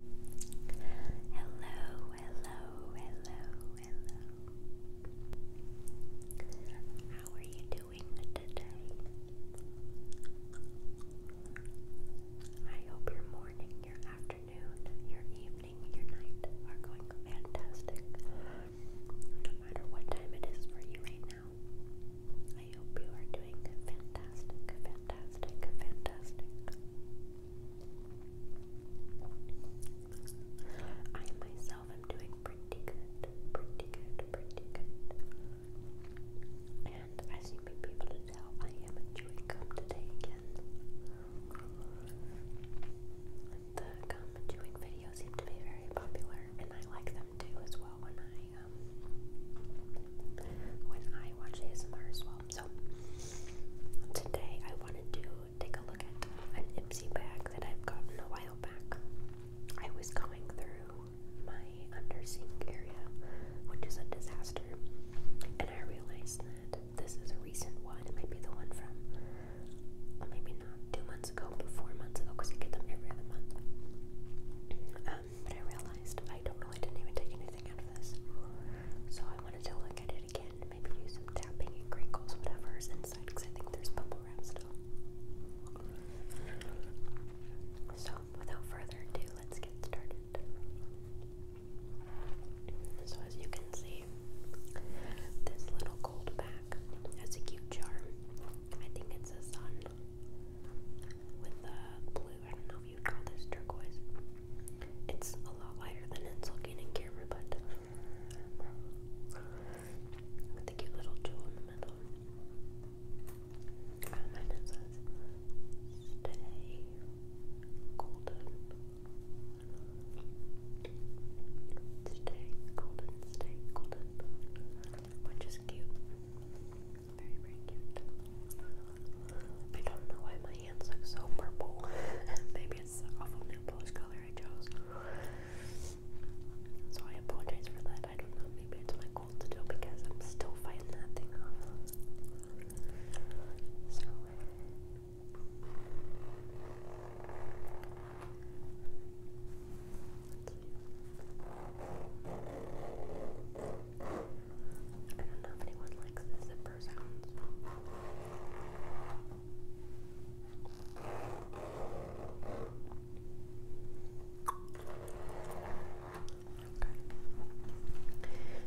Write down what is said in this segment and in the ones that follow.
Hello, hello, hello, hello. How are you doing today? I hope your morning, your afternoon, your evening, your night are going fantastic. No matter what time it is for you right now, I hope you are doing fantastic, fantastic, fantastic. I myself am doing pretty good, pretty good, pretty good. And as you may be able to tell, I am chewing gum today again. The gum chewing videos seem to be very popular, and I like them too as well when I um when I watch ASMR as well. Um, so today I wanted to take a look at an Ipsy bag that I've gotten a while back. I was going through my under sink area, which is a disaster, and I realized that this is a recent one. It might be the one from well, uh, maybe not two months ago, but months ago, because get them every other month. Um, but I realized I don't know, I didn't even take anything out of this. So I wanted to look at it again, maybe do some tapping and crinkles, whatever is inside, because I think there's bubble wrap still. So without further ado, let's get started. So as you can see, this little gold bag has a cute charm. I think it's a sun with a blue. I don't know if you'd call this turquoise. It's a lot lighter than it's looking in camera, but uh, with the cute little jewel in the middle. Um, and "Stay golden, stay golden, stay golden," which is cute. Very, very cute. I don't know why my hands look so purple. Maybe it's the awful nail polish color I chose. So I apologize for that. I don't know. Maybe it's my goal to do because I'm still fighting that thing off. So. I don't know if anyone likes the zipper sounds. Okay.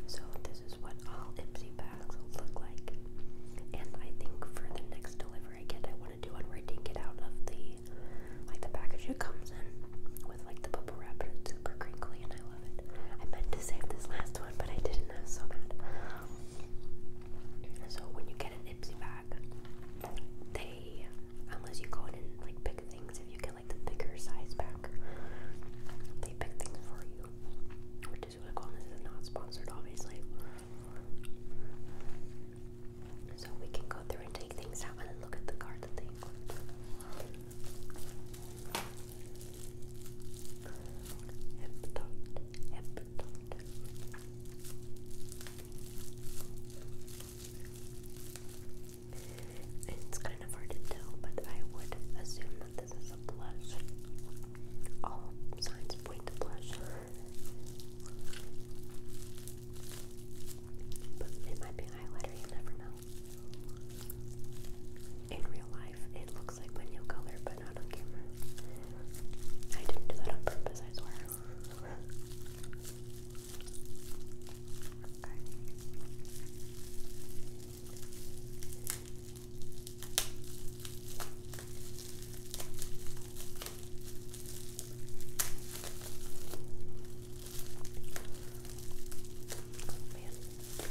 So this is what all Ipsy bags look like. And I think for the next delivery I I want to do one where I take it out of the like the package it comes in with like the bubble wrap super crinkly and I love it. I meant to save this last one, but I didn't. I was so mad. So when you get an Ipsy bag, they unless you go in and like pick things, if you get like the bigger size bag, they pick things for you. Which is really cool. This is not sponsored, obviously. So we can go through and take things out and look at the card that they include. Hip It's kind of hard to tell, but I would assume that this is a blush. All signs point to blush. But it might be highlighter, you never know. In real life, it looks like my nail color, but not on camera. I didn't do that on purpose, I swear. It does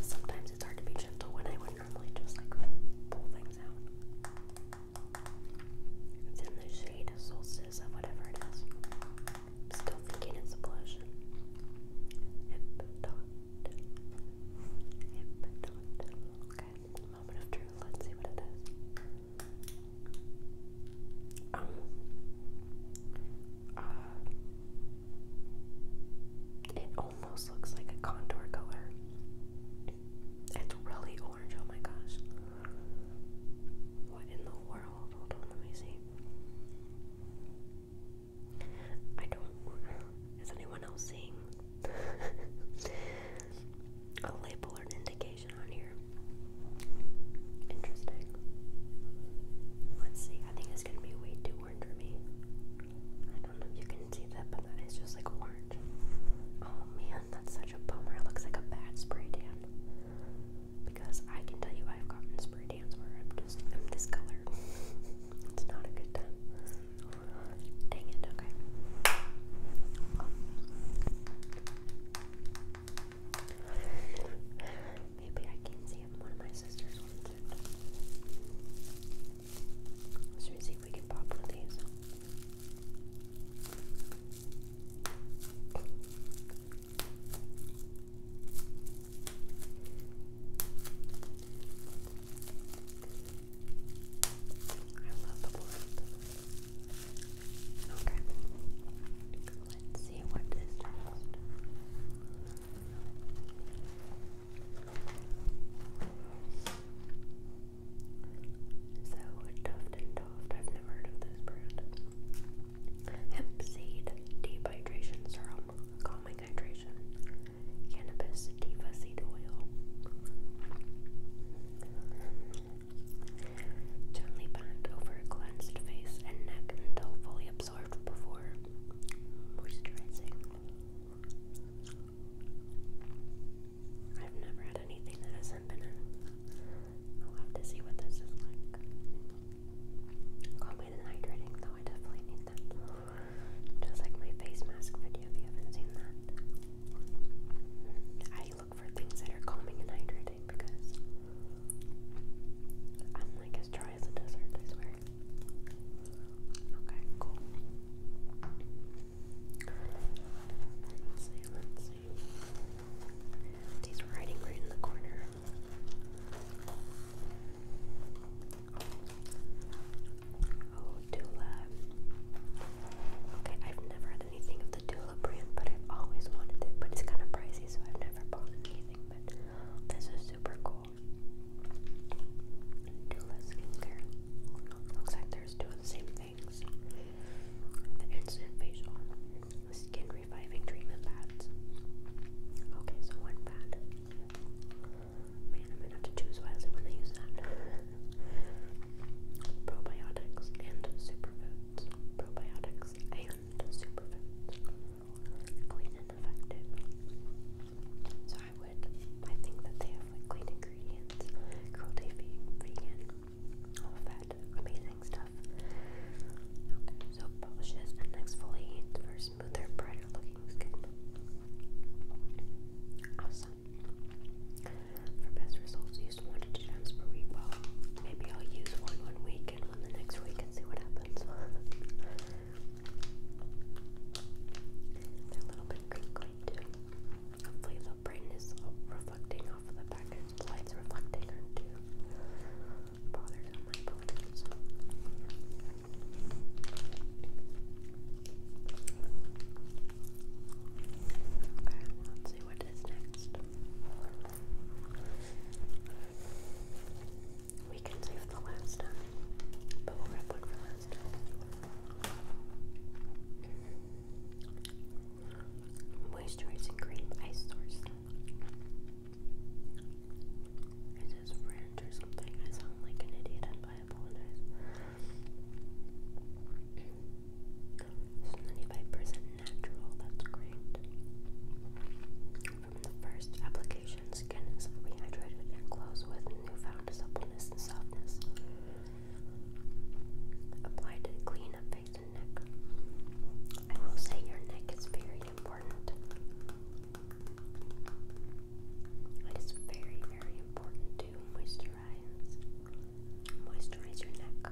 Sometimes it's hard to be gentle when I would normally just like pull things out. It's in the shade of solstice of whatever it still thinking it's a blush. Hip dot Okay, moment of truth. Let's see what it is. Um. Uh, it almost looks like a contour color. It's really orange. Oh my gosh. What in the world? Hold on, let me see. I don't. Is anyone else seeing a label or an indication on here? Interesting. Let's see. I think it's gonna be way too orange for me. I don't know if you can see that, but that is just like orange. Oh man, that's such a bummer. It looks like a bad spray tan. Because I can tell you, I've gotten spray tans where I'm just I'm this color. It's not a good time. Dang it, okay. Maybe I can see if one of my sisters wants it. Let's see if we can pop one of these. I love the blend. Okay. Let's see what is next. So, Tuft and Toft, I've never heard this brand. Hemp seed dehydration serum, calming hydration cannabis sativa seed oil. Gently pat over a cleansed face and neck until fully absorbed before moisturizing. I've never had anything that hasn't been in. I'll have to see what this is like. Calming and hydrating, though, I definitely need that. Just like my face mask video, if you haven't seen that. I look for things that are calming and hydrating because I'm like as dry as a desert, I swear. Okay, cool. Let's see, let's see. He's writing right in the corner. Oh, Dula. Okay, I've never had anything of the Dula brand, but I've always wanted it. But it's kind of pricey, so I've never bought anything. But this is super cool. Dula skincare. Looks like there's two of the same things. The instant facial, the skin reviving treatment pads. Okay, so one pad. Man, I'm gonna have to choose wisely when I use that. Probiotics and superfoods. Probiotics and superfoods. Clean and effective. So I would, I think that they have like clean ingredients, cruelty free, vegan, all fat, amazing stuff. so polishes and exfoliates for smoother, brighter looking skin. Awesome. For best results, use one to two times per week. Well, maybe I'll use one one week and one the next week and see what happens. a little bit crinkly too. Hopefully the brain reflecting off of the package. The light's reflecting onto bothers on my bones. Okay, let's see what is next. We can save the last time, but we'll wrap one for last Moisturizing cream I sourced. Is this ranch or something? I sound like an idiot, but I apologize. 95% natural, that's great. From the first application, skin is rehydrated and glows with newfound suppleness and softness. Applied to clean up face and neck. I will say your neck is very important. It is very, very important to moisturize. Moisturize your neck,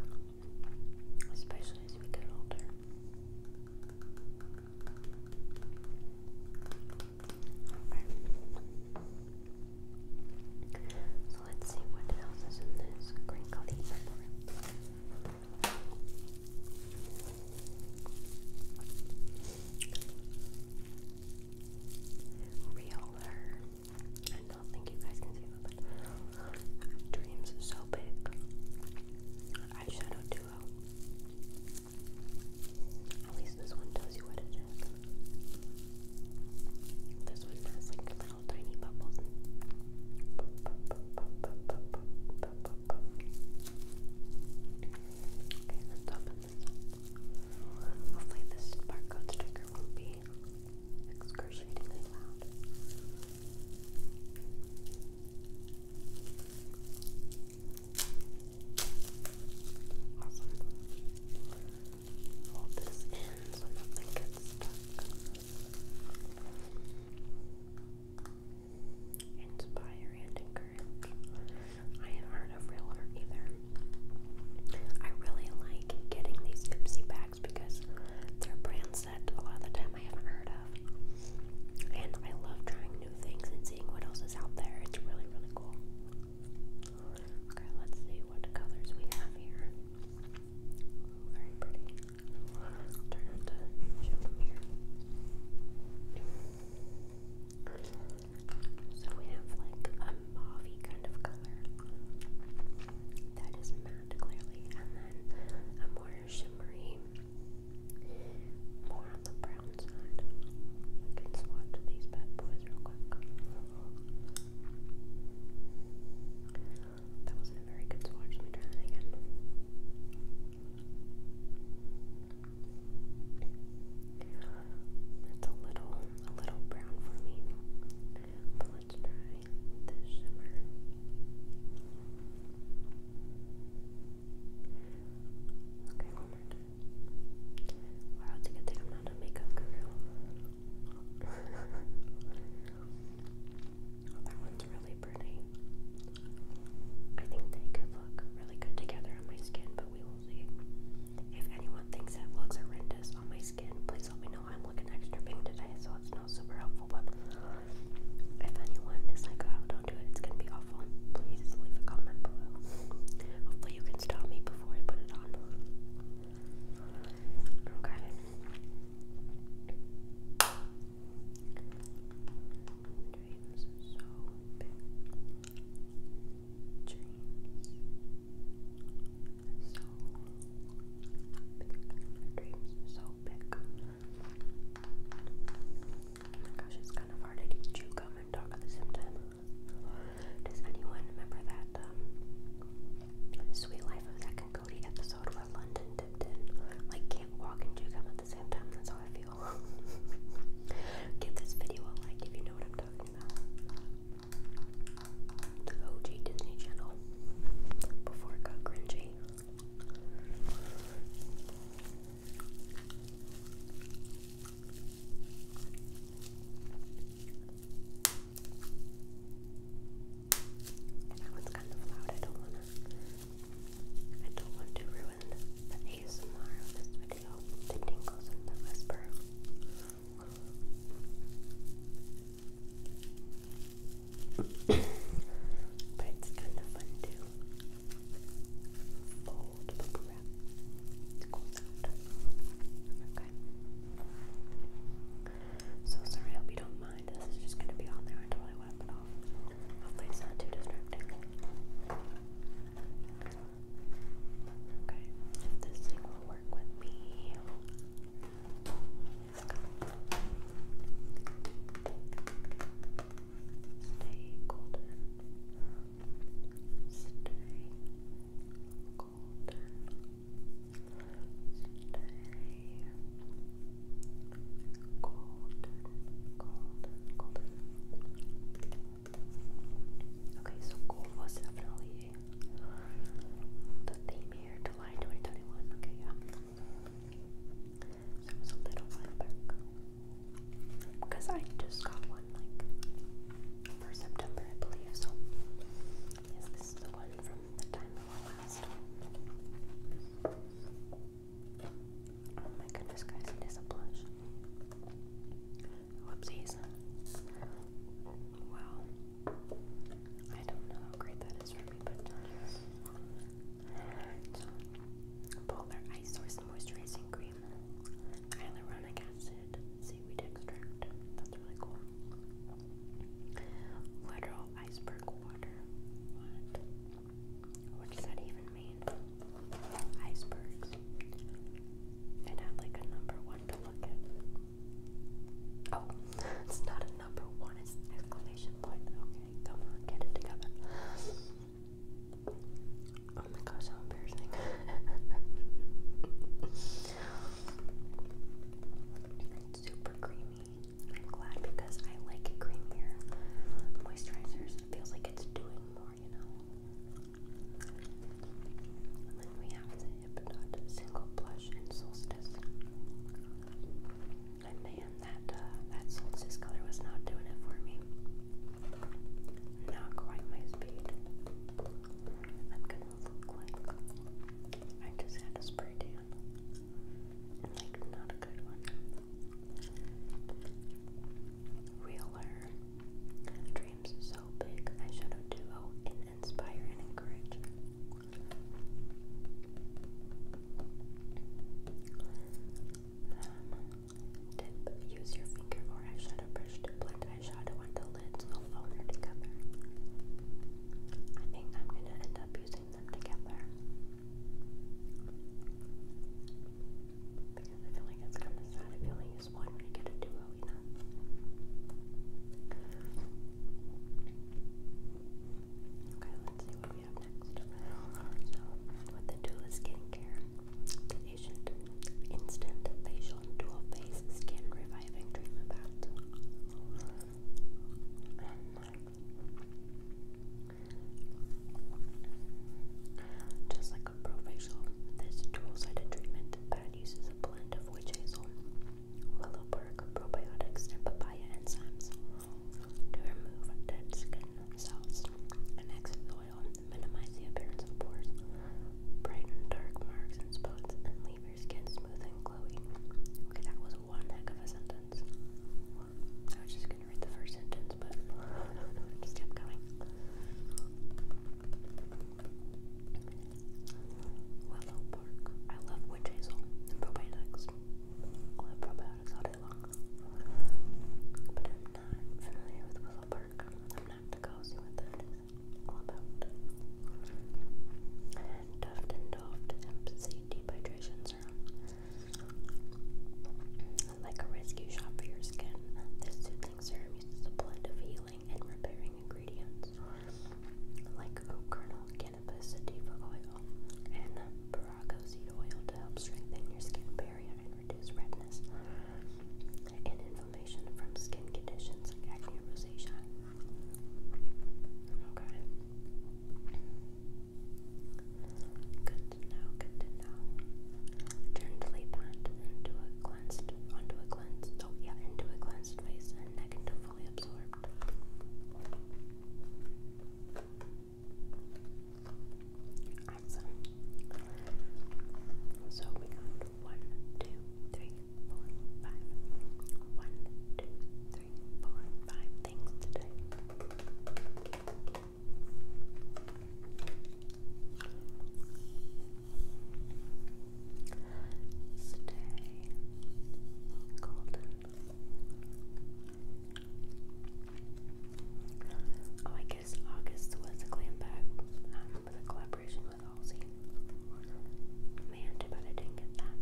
especially as we get older. Okay. So let's see what else is in this crinkly paper. Reeler. I don't think you guys can see that, but Dreams So Big. Eyeshadow Duo. At least this one tells you what it is. This one has like little tiny bubbles. Okay, let's open Hopefully this barcode sticker won't be excruciatingly loud. Hold this in so nothing gets stuck. Inspire and encourage. I haven't heard of real art either. I really like getting these Ipsy bags because they're brands that a lot of the time I haven't heard of. And I love trying new things and seeing what else is out there. It's really, really cool. Okay, let's see what colors we have here. Very pretty. turn it to show them here. So we have like a mauvey kind of color that is matte clearly, and then a more shimmery, more on the brown side. We can swatch these bad boys real quick. That wasn't a very good swatch. Let me try that again. That's a little, a little brown for me. But let's try this shimmer. Okay, one more Wow, it's a good thing a makeup guru. that one's really pretty. I think they could look really good together on my skin, but we if anyone thinks it looks horrendous on my skin, please let me know. I'm looking extra pink today, so it's not super helpful. But if anyone is like, "Oh, don't do it," it's gonna be awful. Please leave a comment below. Hopefully, you can stop me before I put it on. Okay. Dreams so big. Dreams so big. Dreams so big. gosh, it's kind of hard to chew gum and talk at the same time. Does anyone remember that Sweet Life of Zach and Cody episode where London dipped in? Like, can't walk and chew gum at the same time. That's how I feel people. Give this video a like if you know what I'm talking about. The OG Disney Channel. Before it got cringy. that one's kind of loud. I don't wanna I don't want to ruin the ASMR of this video audio, but it's kind of fun to fold the wrap. It goes So sorry, I hope you don't mind. This is just gonna be on there until I wipe Hopefully it's not too distracting. Okay, if this thing will work with me. Let's Stay golden. Stay golden. Stay golden. Golden, golden. Okay, so gold was definitely the theme here, July 2021. Okay, yeah. So it was a little while back. Because I just got one, like, for September, I believe. So, yes, this is the one from the time of our last Oh my goodness, guys, it is a blush. Whoopsies. Wow. I don't know how great that is for me, but. Polar Ice Source Moisturizing Cream. Hyaluronic Acid. Seaweed Extract. That's really cool. Literal Iceberg Water. What? What does that even icebergs. And have like a number one to look at. Oh, it's not a number one, exclamation point. Okay, come on, get it together. Oh my gosh, how embarrassing. super creamy. I'm glad because I like creamier. Moisturizers, feels like it's doing more anymore, you know. then we have the Hypnot Single Blush and Solstice. And man, that uh, that Solstice color was not doing it for me. Not quite my speed. I'm going look like I just had a spray tan. not a good one realer. Dreams so big, I duo in inspire and encourage. Um, tip: Use your finger or eyeshadow brush to blend eyeshadow on lids alone or together. I think I'm gonna end up using them together. Because you Okay, let's see what we have next. So, with the Dula Skincare, Asian Instant Facial Dual Face Skin Reviving Treatment Bath. Just like like a This dual-sided treatment that uses a blend of witch hazel, willow bark, probiotics, and papaya enzymes to remove dead skin cells and exit minimize the appearance of pores, brighten dark marks and spots, and leave your skin smooth and glowy. Okay, that was one heck of a sentence. I was just gonna read the first sentence, but just kept going. Willow Park. I love witch hazel and probiotics. I love probiotics all day But I'm not familiar with Willow Park. I'm not to go see what all about. And Duft and Doft Hemp Seed Dehydration like a rescue shop for your skin, this soothing serum uses a blend of healing and repairing ingredients like oak cannabis, and Parago oil to help strengthen your skin barrier and reduce redness and inflammation from skin conditions like acne rosacea. Okay. Good Good to Good to Gently pat into a cleansed, onto a cleansed, oh yeah, into a cleansed face and neck until fully absorbed. Awesome. So we got one, two, three, four, five. One, two, three, four, five things today. Stay golden. Oh, I guess August was a glam bag um, with a collaboration with Halsey. Man, too bad I didn't get that.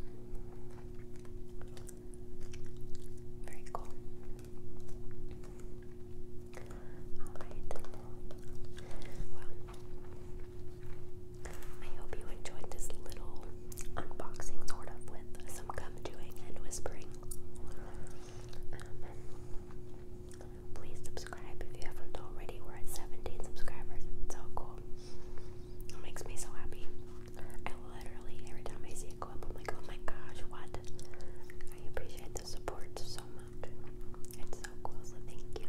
Very cool. Alright. Well, I hope you enjoyed this little unboxing, sort of, with some gum chewing and whispering. Um, please subscribe if you haven't already. We're at 17 subscribers. It's so cool. It makes me so happy. I literally, every time I see it go up, I'm like, oh my gosh, what? I appreciate support so much. It's so cool, so thank you.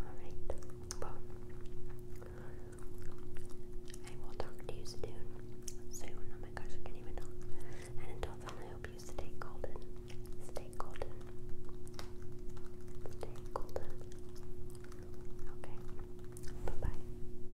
Alright, I will talk to you soon. Soon, oh my gosh, I can't even know. And until then, I hope you stay golden. Stay golden. Stay golden. Okay, bye bye.